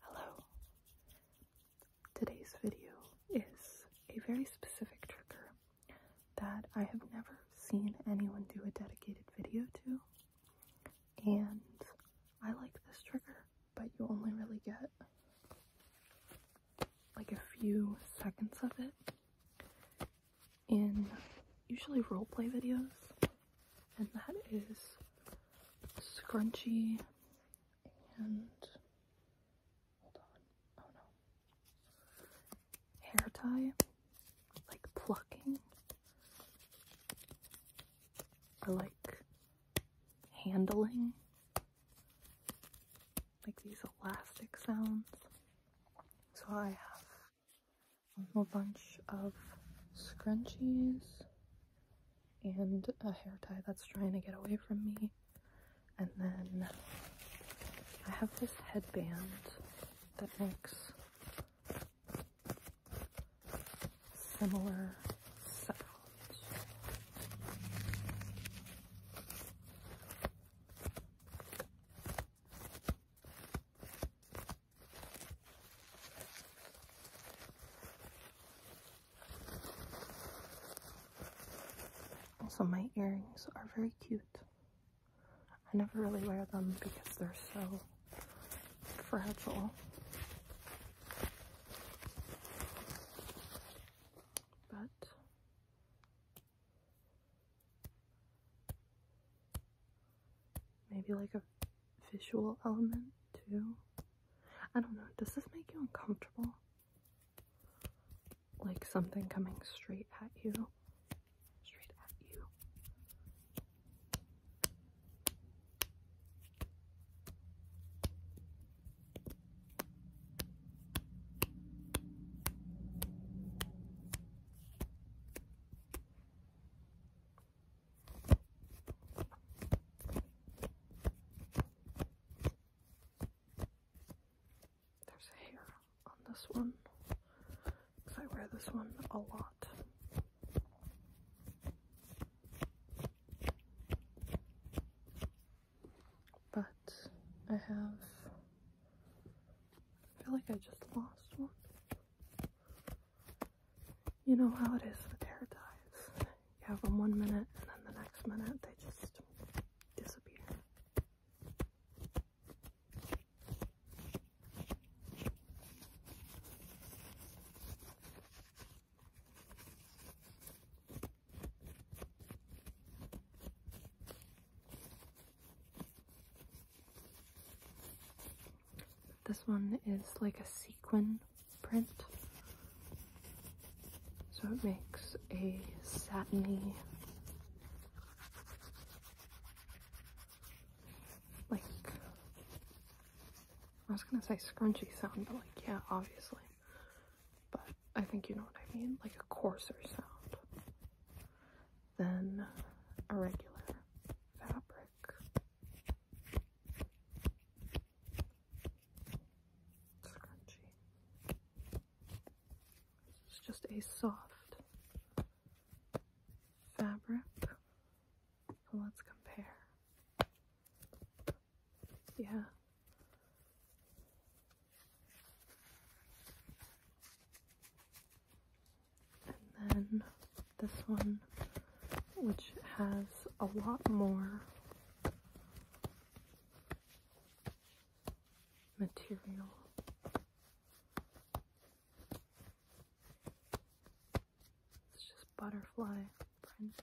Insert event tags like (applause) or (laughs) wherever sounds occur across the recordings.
Hello. Today's video is a very specific trigger that I have never seen anyone do a dedicated video to, and I like this trigger, but you only really get like a few seconds of it in usually roleplay videos and that is scrunchy and oh hair tie, like plucking, I like handling, like these elastic sounds. So I have a whole bunch of scrunchies and a hair tie that's trying to get away from me. And then I have this headband that looks similar sounds. Also, my earrings are very cute. I never really wear them because they're so fragile. But Maybe like a visual element too. I don't know. Does this make you uncomfortable? Like something coming straight at you? Straight at you. There's hair on this one because I wear this one a lot. But I have, I feel like I just lost one you know how it is with pterodactyls. You have them one minute, and then the next minute they just disappear. This one is like a sequin print. So it makes a satiny, like, I was gonna say scrunchy sound, but like, yeah, obviously. But I think you know what I mean, like a coarser sound than a regular fabric. Scrunchy. It's just a soft fabric. Let's compare. Yeah. And then this one, which has a lot more material. It's just butterfly print.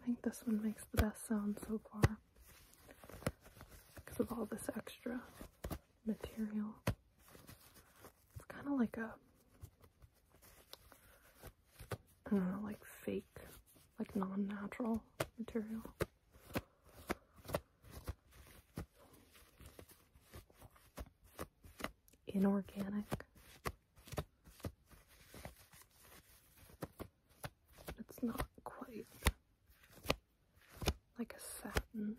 I think this one makes the best sound so far because of all this extra material. It's kind of like a like fake, like non-natural material. Inorganic. It's not quite like a satin.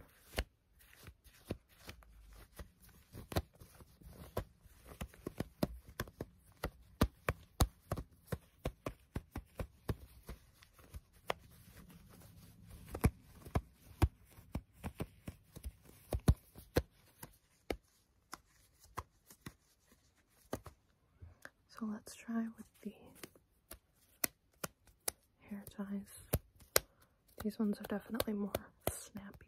So let's try with the hair ties. These ones are definitely more snappy.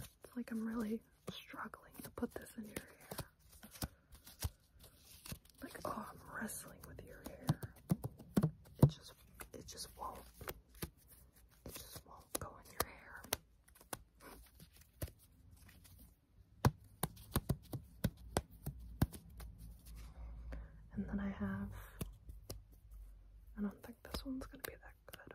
It's like I'm really struggling to put this in your hair. Like, oh, I'm wrestling with your hair. It just, it just won't, it just won't go in your hair. And then I have, I don't think this one's gonna be that good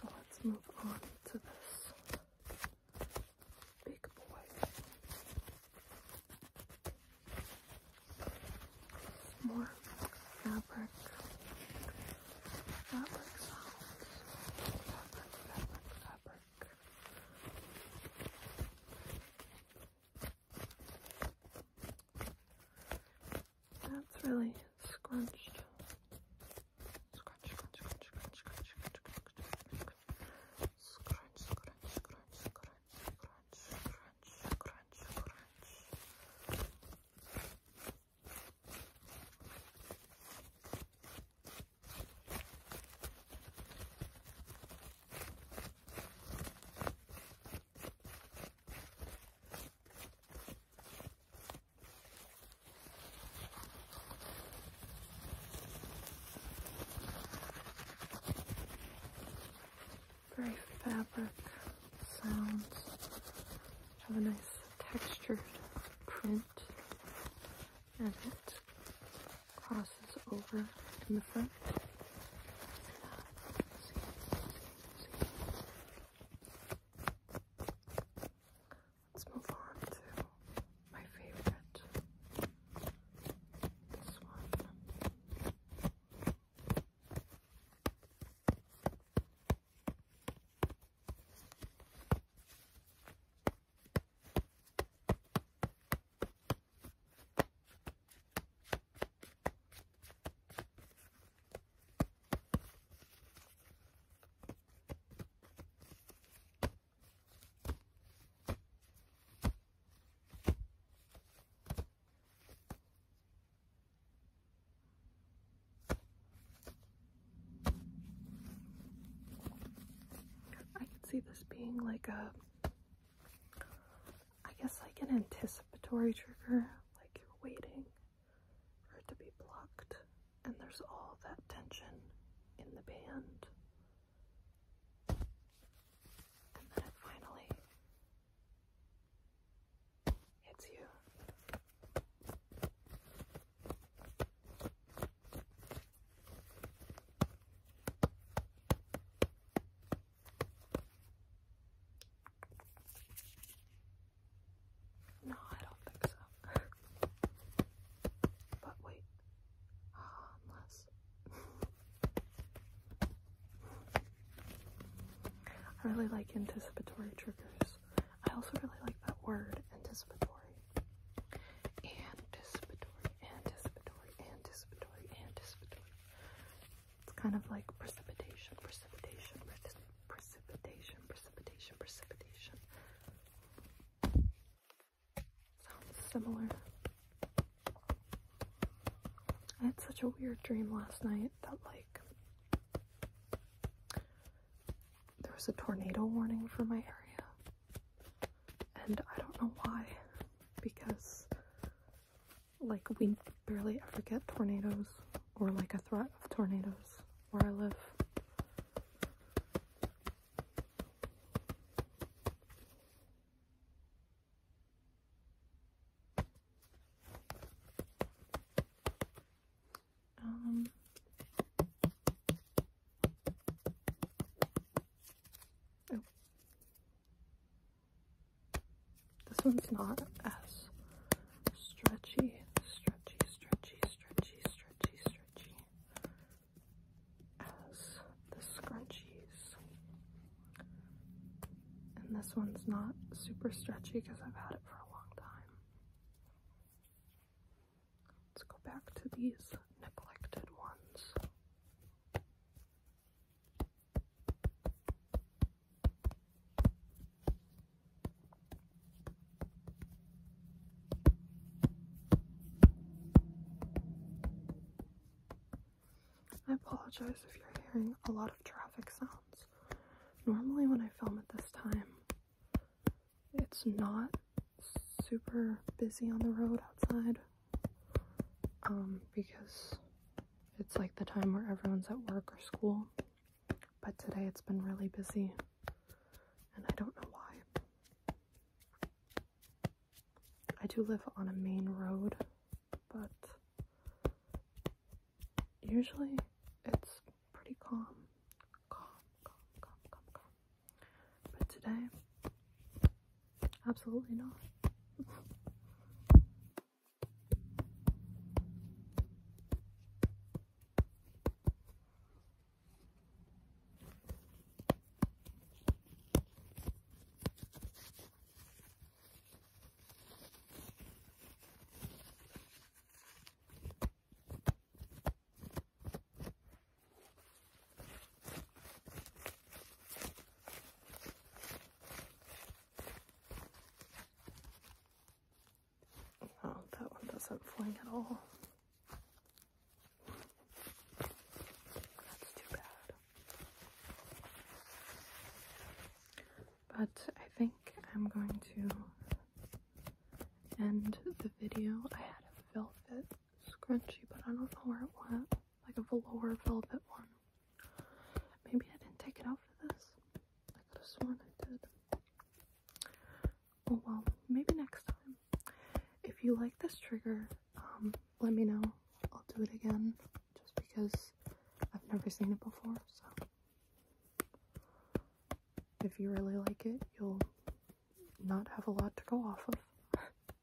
So let's move on to this big boy. more fabric. Fabric sounds. Fabric, fabric, fabric. That's really scrunched. Scrunch, scrunch, scrunch, scrunch, scrunch, scrunch, scrunch, scrunch, scrunch, scrunch, scrunch, scrunch, scrunch, scrunch. Very fabric sounds have a nice textured print and it crosses over in the front. Let's move on to my favorite. This one. I can see this being like a I guess like an anticipatory trigger, like you're waiting for it to be blocked, and there's all that tension in the band. And then it finally hits you. No, I don't think so. but wait. unless. I really like anticipatory triggers. I also really like that word, anticipatory. Anticipatory, anticipatory, anticipatory, anticipatory. It's kind of like precipitation, precipitation, precipitation, precipitation, precipitation. Sounds similar. I had such a weird dream last night that, like, there was a tornado warning for my area. And I don't know why, because like we barely ever get tornadoes or like a threat of tornadoes where I live. Um, oh. This one's not as stretchy, stretchy, stretchy, stretchy, stretchy, stretchy as the scrunchies. And this one's not super stretchy because I've had it for a long time. Let's go back to these neglected ones. I apologize if you're hearing a lot of traffic sounds. Normally, when I film at this time, it's not super busy on the road outside um, because it's like the time where everyone's at work or school. But today it's been really busy, and I don't know why. I do live on a main road, but usually it's pretty calm. Calm, calm, calm, calm, calm. But today Absolutely not. Oh, that one doesn't fling at all. That's too bad. But I think I'm going to end the video. I had a velvet scrunchie, but I don't know where it went like a velour velvet one. Maybe I didn't take it out for this. I could have sworn I did. Oh well, maybe next time. If you like this trigger, um, let me know. I'll do it again just because I've never seen it before, so if you really like it, you'll not have a lot to go off of. (laughs)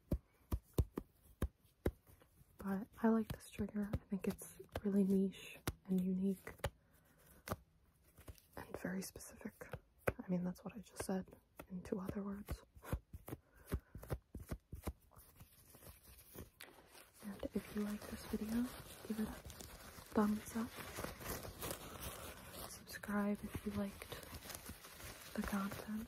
But I like this trigger. I think it's really niche and unique and very specific. I mean, that's what I just said in two other words. And if you like this video, give it a thumbs up. Subscribe if you liked the content.